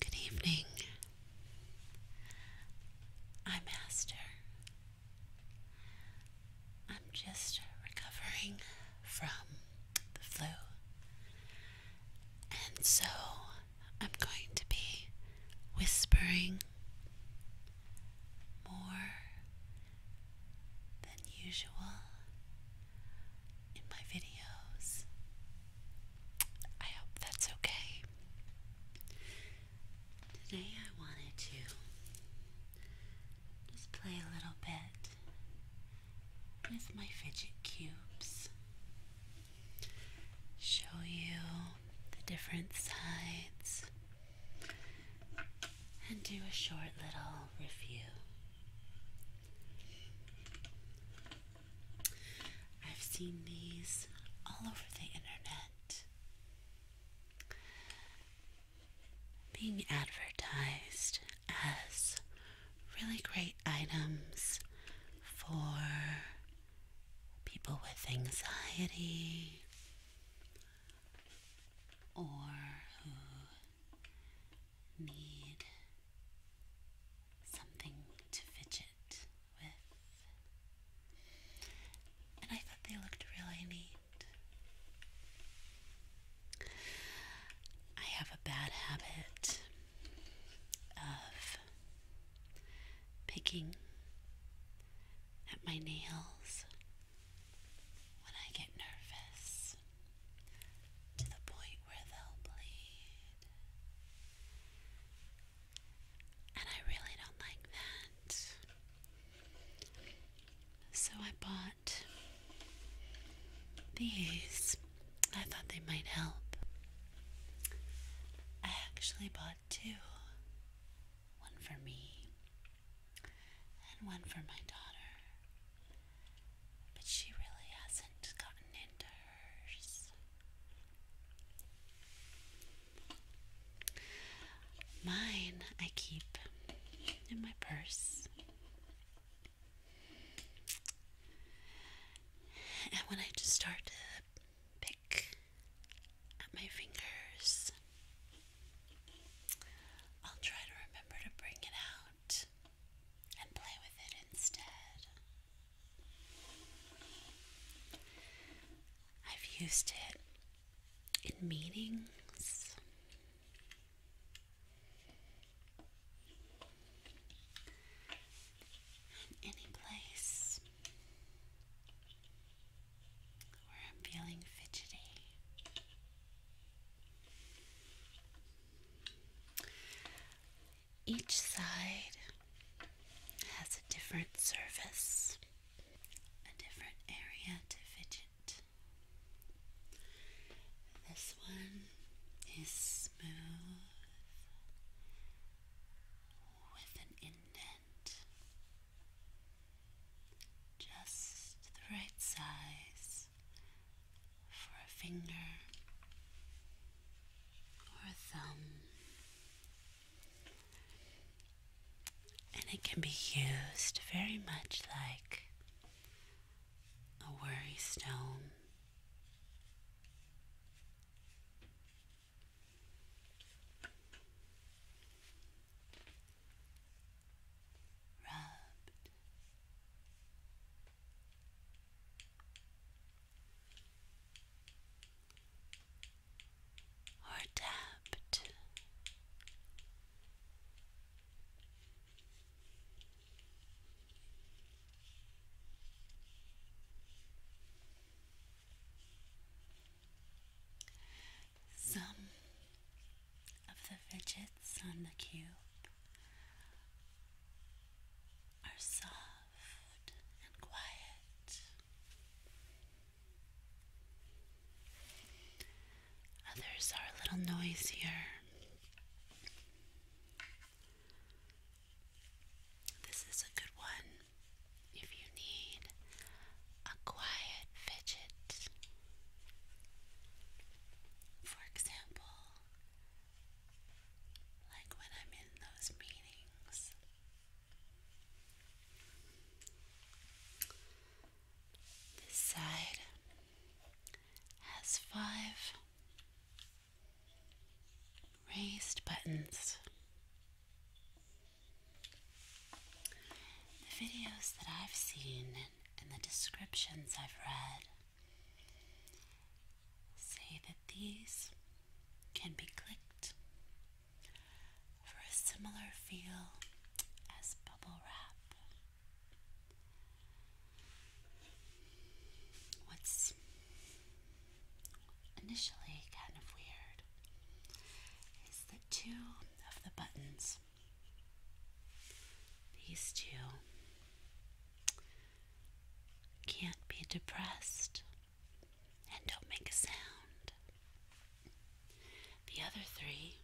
Good evening. I'm Master. I'm just recovering from the flu, and so I'm going to be whispering more than usual in my videos. I hope that's okay. Today I wanted to just play a little bit with my fidget cubes. Show you the different sides and do a short little review. I've seen these all over the internet being advertised as really great items for people with anxiety or who need something to fidget with. And I thought they looked really neat. I have a bad habit of picking at my nails when I get nervous to the point where they'll bleed. And I really don't like that. So I bought these. I thought they might help. I actually bought two one for me and one for my daughter but she really hasn't gotten into hers. Mine I keep in my purse. And when I just start to pick at my fingers, I'll try to remember to bring it out and play with it instead. I've used it in meetings. any place where I'm feeling fidgety, each side has a different surface, a different area to fidget. This one is smooth with an indent, just the right size for a finger or a thumb, and it can be used very much like a worry stone rubbed. Or tapped. Some of the fidgets on the cube are soft and quiet. Others are a little noisier. This is a good one if you need a quiet fidget for example, like when I'm in those meetings, this side has five raised buttons. The videos that I've seen and the descriptions I've read say that these can be clicked for a similar feel as bubble wrap. What's initially kind of weird is that two of the buttons these two can't be depressed and don't make a sound. The other three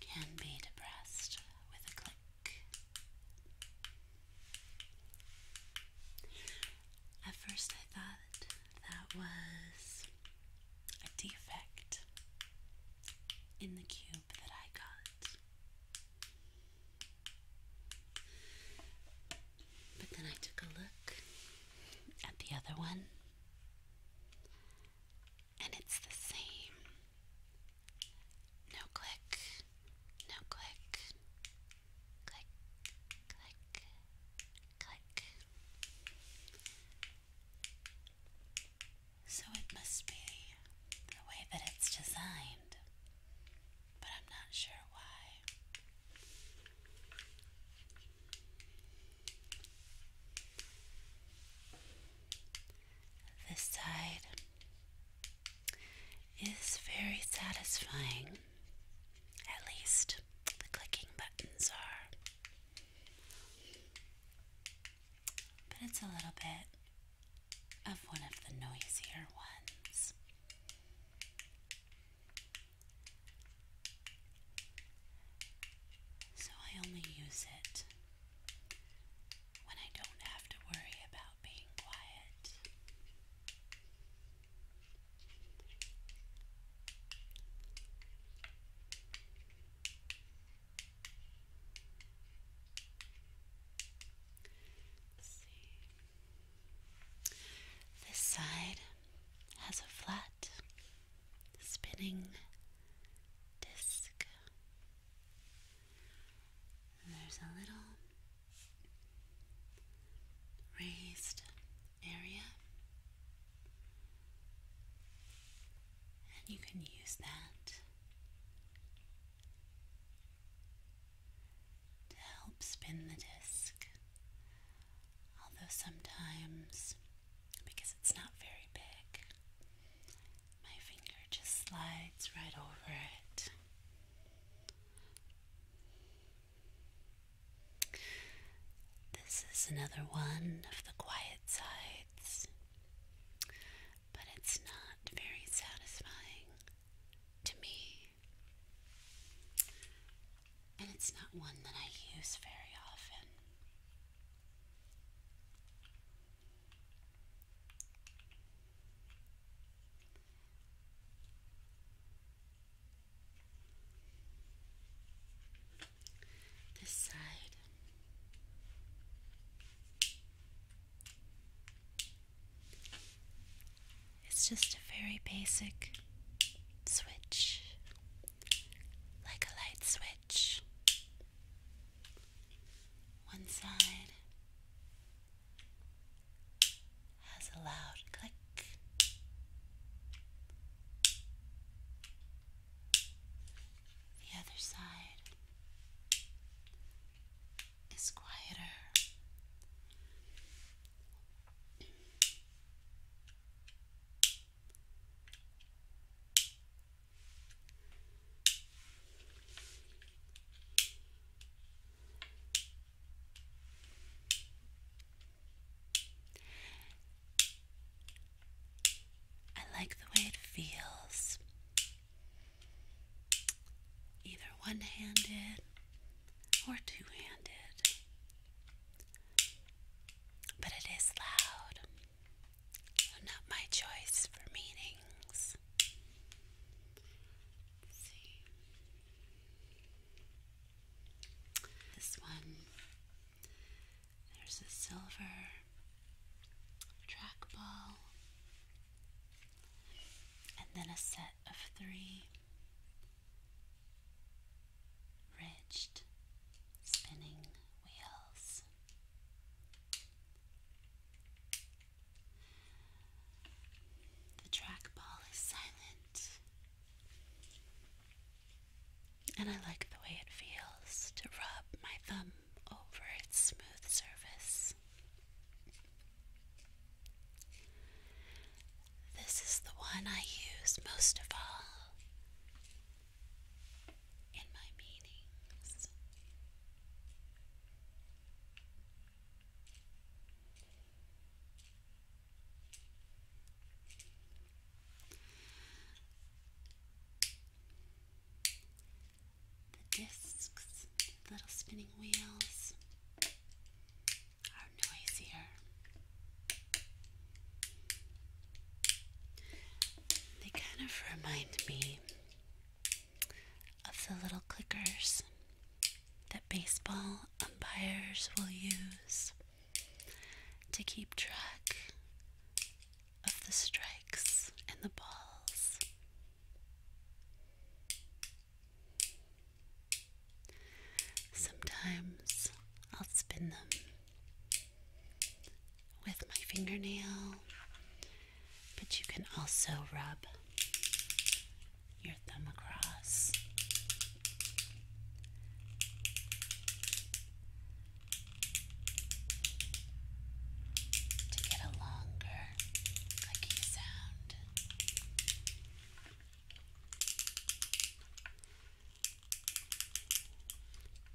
can be depressed with a click. At first, I thought that was a defect in the cube that I got. But then I took a look at the other one, and it's the same. No click, no click, click, click, click. So it must be the way that it's designed, but I'm not sure why. This side is very satisfying. At least the clicking buttons are. But it's a little bit of one of the noisier ones. So I only use it when I don't have to worry about this side has a flat spinning disc. there's a little raised area, and you can use that to help spin the disc. Although sometimes, because it's not very big, my finger just slides right over it. This is another one of the quiet sides, but it's not very satisfying to me. And it's not one that I use very often. This side. It's just a very basic switch, like a light switch. One side has a loud click. The other side is quieter. I like the way it feels, either one handed or two handed, but it is loud, not my choice for meanings see. This one, there's a silver trackball, and then a set of three ridged spinning wheels. The trackball is silent. And I like the way it feels to rub my thumb over its smooth surface. This is the one I use most of all in my meetings. The discs, little spinning wheels, are noisier. They kind of remind me of the little clickers that baseball umpires will use to keep track of the strikes and the balls. Sometimes I'll spin them with my fingernail, but you can also rub your thumb across. To get a longer clicking sound,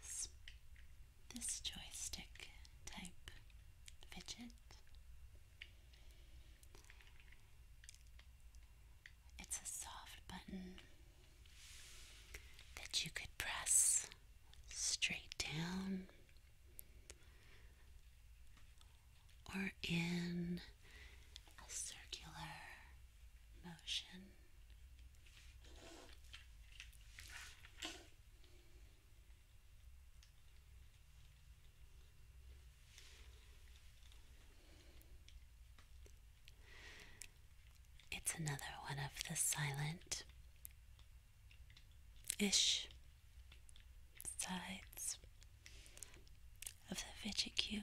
has this joystick type fidget. It's a soft button that you could press straight down or in a circular motion. It's another one of the silent ish sides of the fidget cube.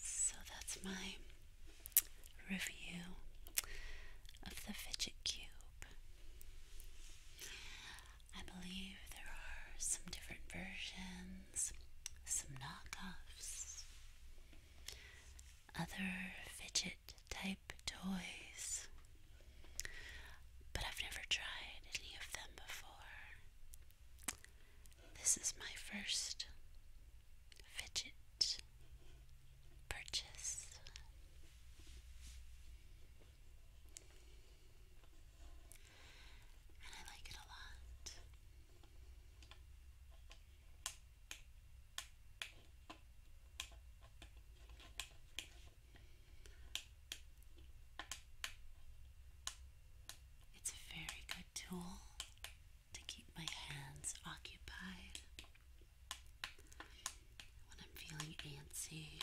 So that's my review of the fidget cube. I believe there are some different versions, some knockoffs, other fidget type toys, but I've never tried any of them before. This is my first fidget purchase. And I like it a lot. It's a very good tool to keep my hands occupied when I'm feeling antsy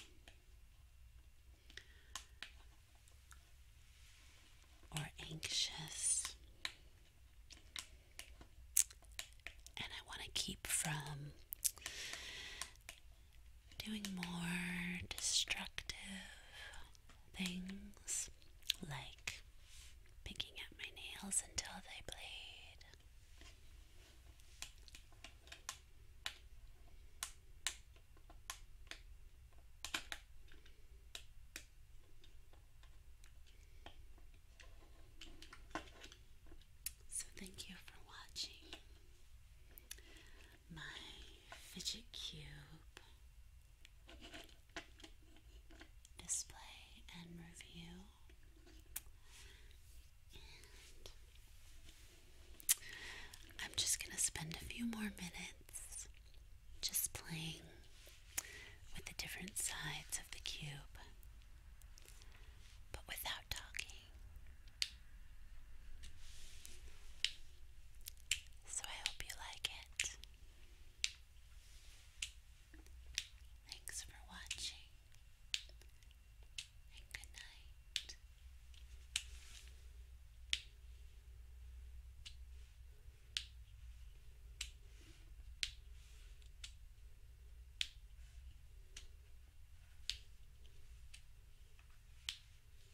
or anxious. And I want to keep from doing more destructive things like picking at my nails until they bleed. So, thank you for watching my fidget cube display and review. I'm just going to spend a few more minutes just playing with the different sides of the cube, but without talking. So I hope you like it. Thanks for watching, good night.